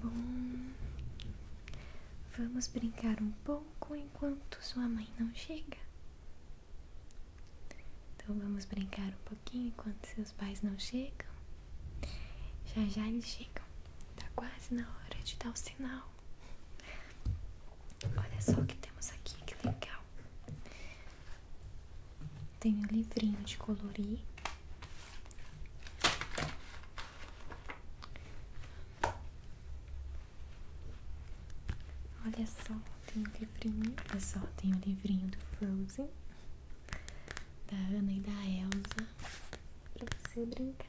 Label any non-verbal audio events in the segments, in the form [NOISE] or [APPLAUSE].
Bom, vamos brincar um pouco enquanto sua mãe não chega. Então vamos brincar um pouquinho enquanto seus pais não chegam. Já já eles chegam. Tá quase na hora de dar o sinal. Olha só o que temos aqui, que legal. Tem um livrinho de colorir. Olha só, tem um livrinho. Olha só, tem o um livrinho do Frozen, da Ana e da Elsa. Pra você brincar.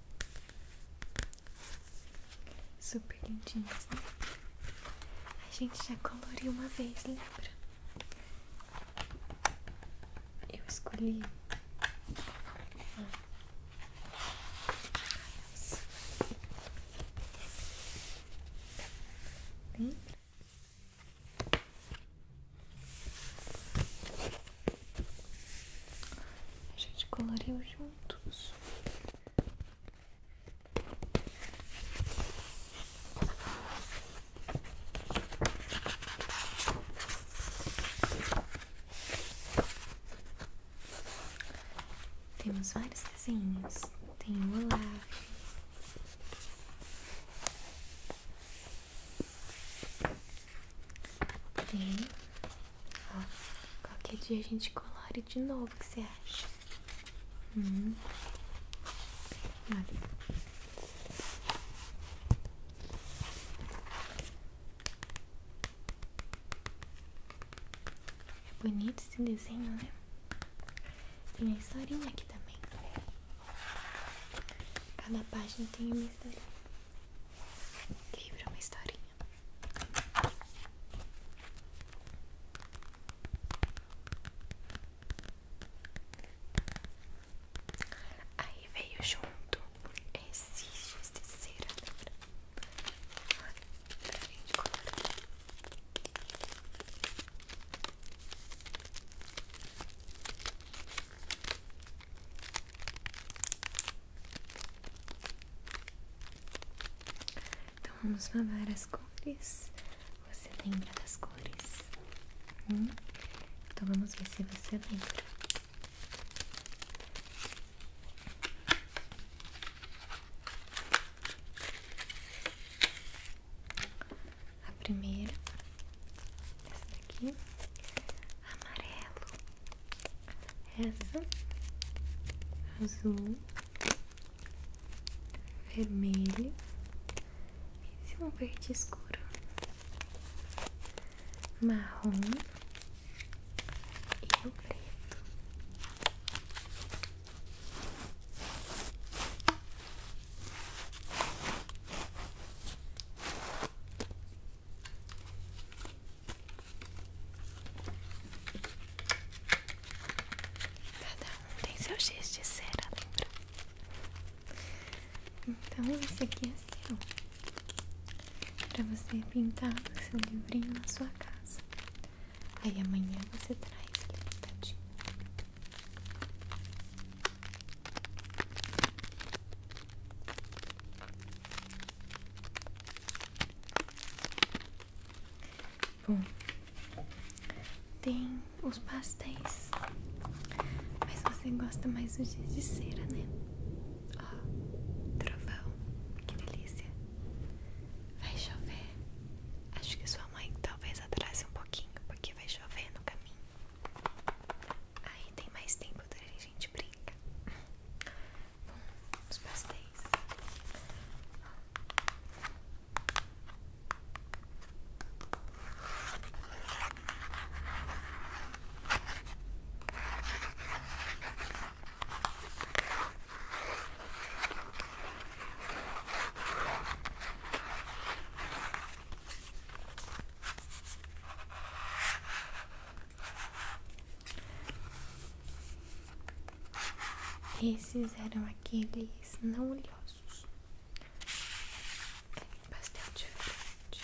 Super lindinhas, né? A gente já coloriu uma vez, lembra? Eu escolhi. Lembra? A gente coloriu juntos. Temos vários desenhos. Tem o Olaf. Tem qualquer dia a gente colore de novo, o que você acha? Hum. É bonito esse desenho, né? Tem a historinha aqui também. Cada página tem uma historinha. O livro é uma historinha. Aí veio junto esse giz gente colorar. Então vamos lavar as cores. Você lembra das cores? Hum? Então vamos ver se você lembra. A primeira, essa daqui, amarelo, essa, azul, vermelho esse é um verde escuro, marrom e o preto. Cada um tem seu giz de cera, lembra? Então esse aqui é seu Pra você pintar o seu livrinho na sua casa Aí amanhã você traz ele pintadinho Bom, tem os pastéis, mas você gosta mais do dia de cera, né? Ó, trovão, que delícia! Vai chover. Acho que sua mãe talvez atrase um pouquinho, porque vai chover no caminho. Aí tem mais tempo a gente brinca. Vamos pastéis. Esses eram aqueles não oleosos. É bastante diferente.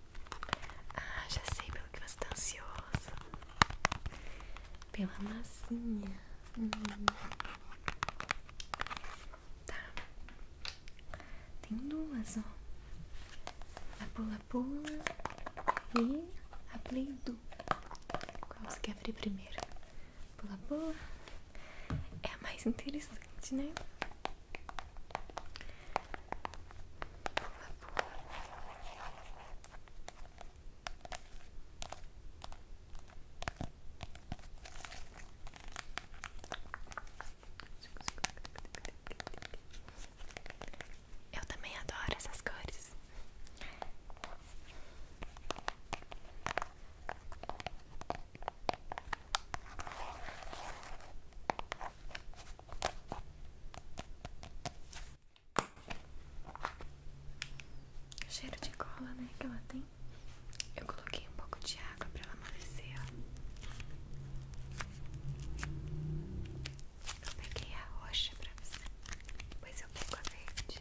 Ah, já sei pelo que você está ansiosa Pela massinha. Hum. Tá. Tem duas, ó. A pula-pula e a play do. Qual você quer abrir primeiro? Pula-pula. É a mais interessante, né? Por favor. Eu também adoro essas cores cheiro de cola, né, que ela tem. Eu coloquei um pouco de água pra ela amolecer, ó. Eu peguei a roxa pra você, depois eu pego a verde.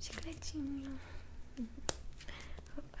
Chicletinho. Opa.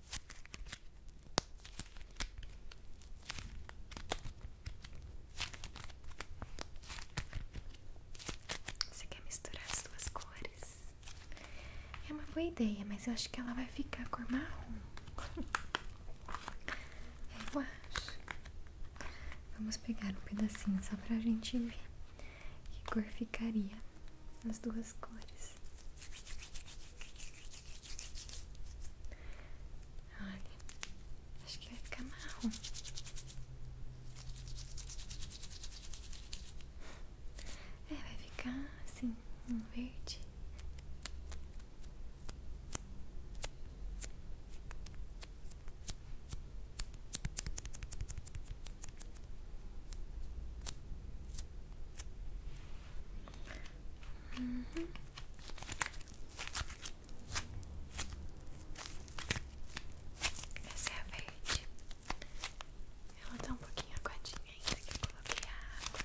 Você quer misturar as duas cores? É uma boa ideia, mas eu acho que ela vai ficar cor marrom. [LAUGHS] É, eu acho. Vamos pegar um pedacinho só pra gente ver que cor ficaria as duas cores. Olha, acho que vai ficar marrom. É, vai ficar assim, um verde. Uhum. Essa é verde. Ela tá um pouquinho aguadinha ainda que eu coloquei a água.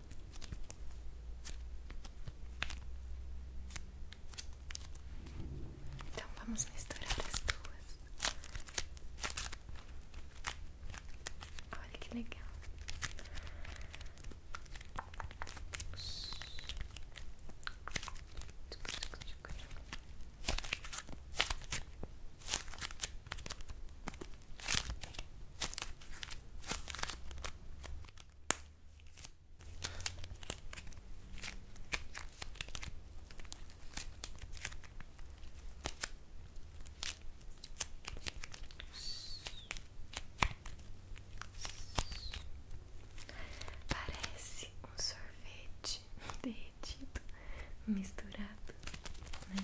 Então vamos misturar as duas. Olha que legal. Parece um sorvete [LAUGHS] derretido misturado, né?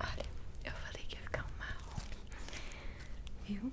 Olha, eu falei que ia ficar um marrom, viu?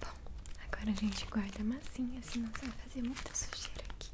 Bom, agora a gente guarda a massinha, senão vai fazer muita sujeira aqui.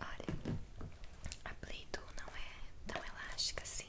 Olha, a play não é tão elástica assim.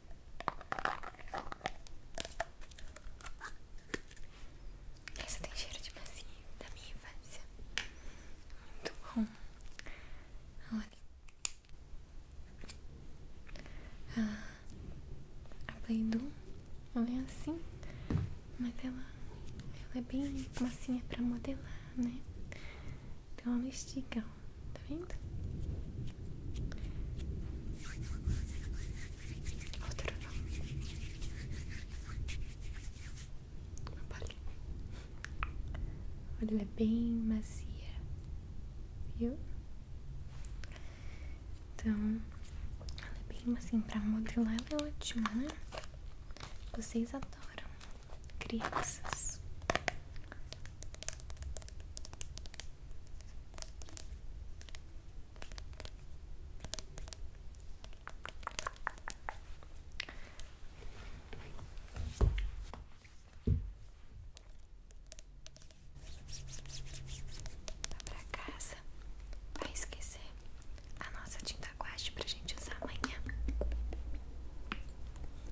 Essa tem cheiro de massinha da minha infância. Muito bom. Olha. Ah, a Play-Doh, ela é assim, mas ela, ela é bem massinha pra modelar, né? Então ela estica, Tá vendo? Outro não. Uma bolinha. Olha, ela é bem macia, viu? Então, ela é bem assim pra modelar, ela é ótima, né? Vocês adoram crianças pra casa, vai esquecer a nossa tinta guache pra gente usar amanhã.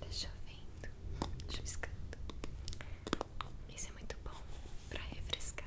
Tá chovendo, chuviscando. Isso é muito bom pra refrescar.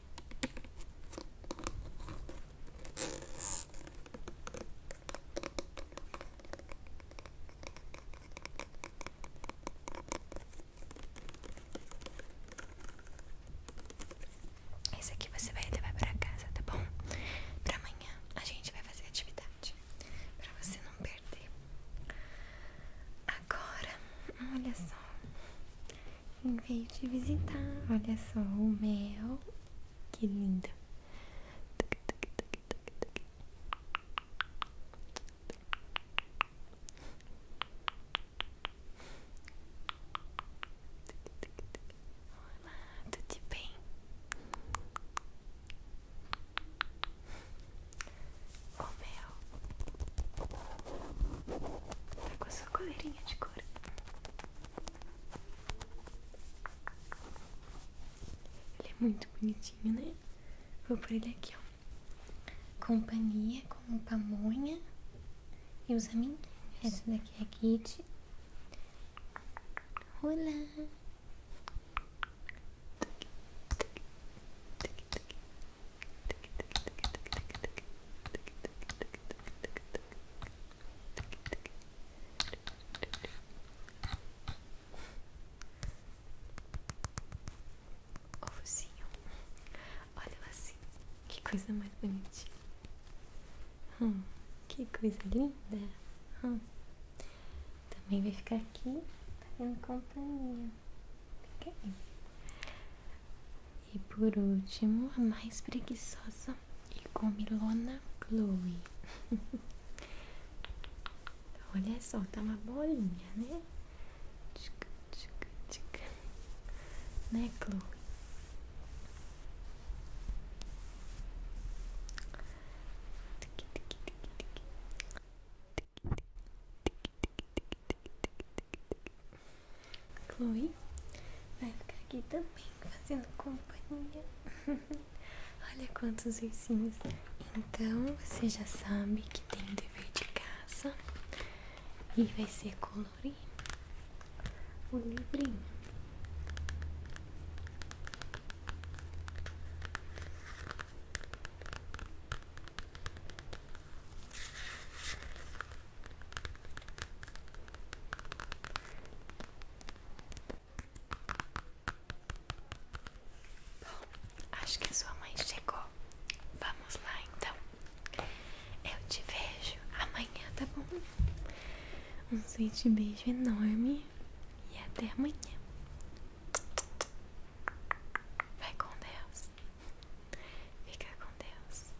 Esse aqui você vai ter que levar para casa, tá bom? Para amanhã a gente vai fazer atividade Para você não perder. Agora, olha só em vez de visitar. Olha só o mel, que lindo. Olá, tudo bem? O mel tá com a sua coleirinha de couro. Ele é muito bonitinho, né? Vou por ele aqui, Companhia com pamonha e os amiguinhos. Essa daqui é a Kitty. Olá! Ovozinho, olha lá assim, que coisa mais bonitinha. Hum, que coisa linda. Hum. Também vai ficar aqui fazendo companhia. Fica aí. E por último, a mais preguiçosa e comilona Chloe. [LAUGHS] Olha só, tá uma bolinha, né? Tchica, tchica, tchica. Né, Chloe? Chloe vai ficar aqui também fazendo companhia. [LAUGHS] Olha quantos ursinhos. Então você já sabe que tem o dever de casa e vai ser colorir o livrinho. Bom, acho que a sua mãe chegou. Vamos lá então. Eu te vejo amanhã, tá bom? Um sweet beijo enorme e até amanhã. Vai com Deus. Fica com Deus.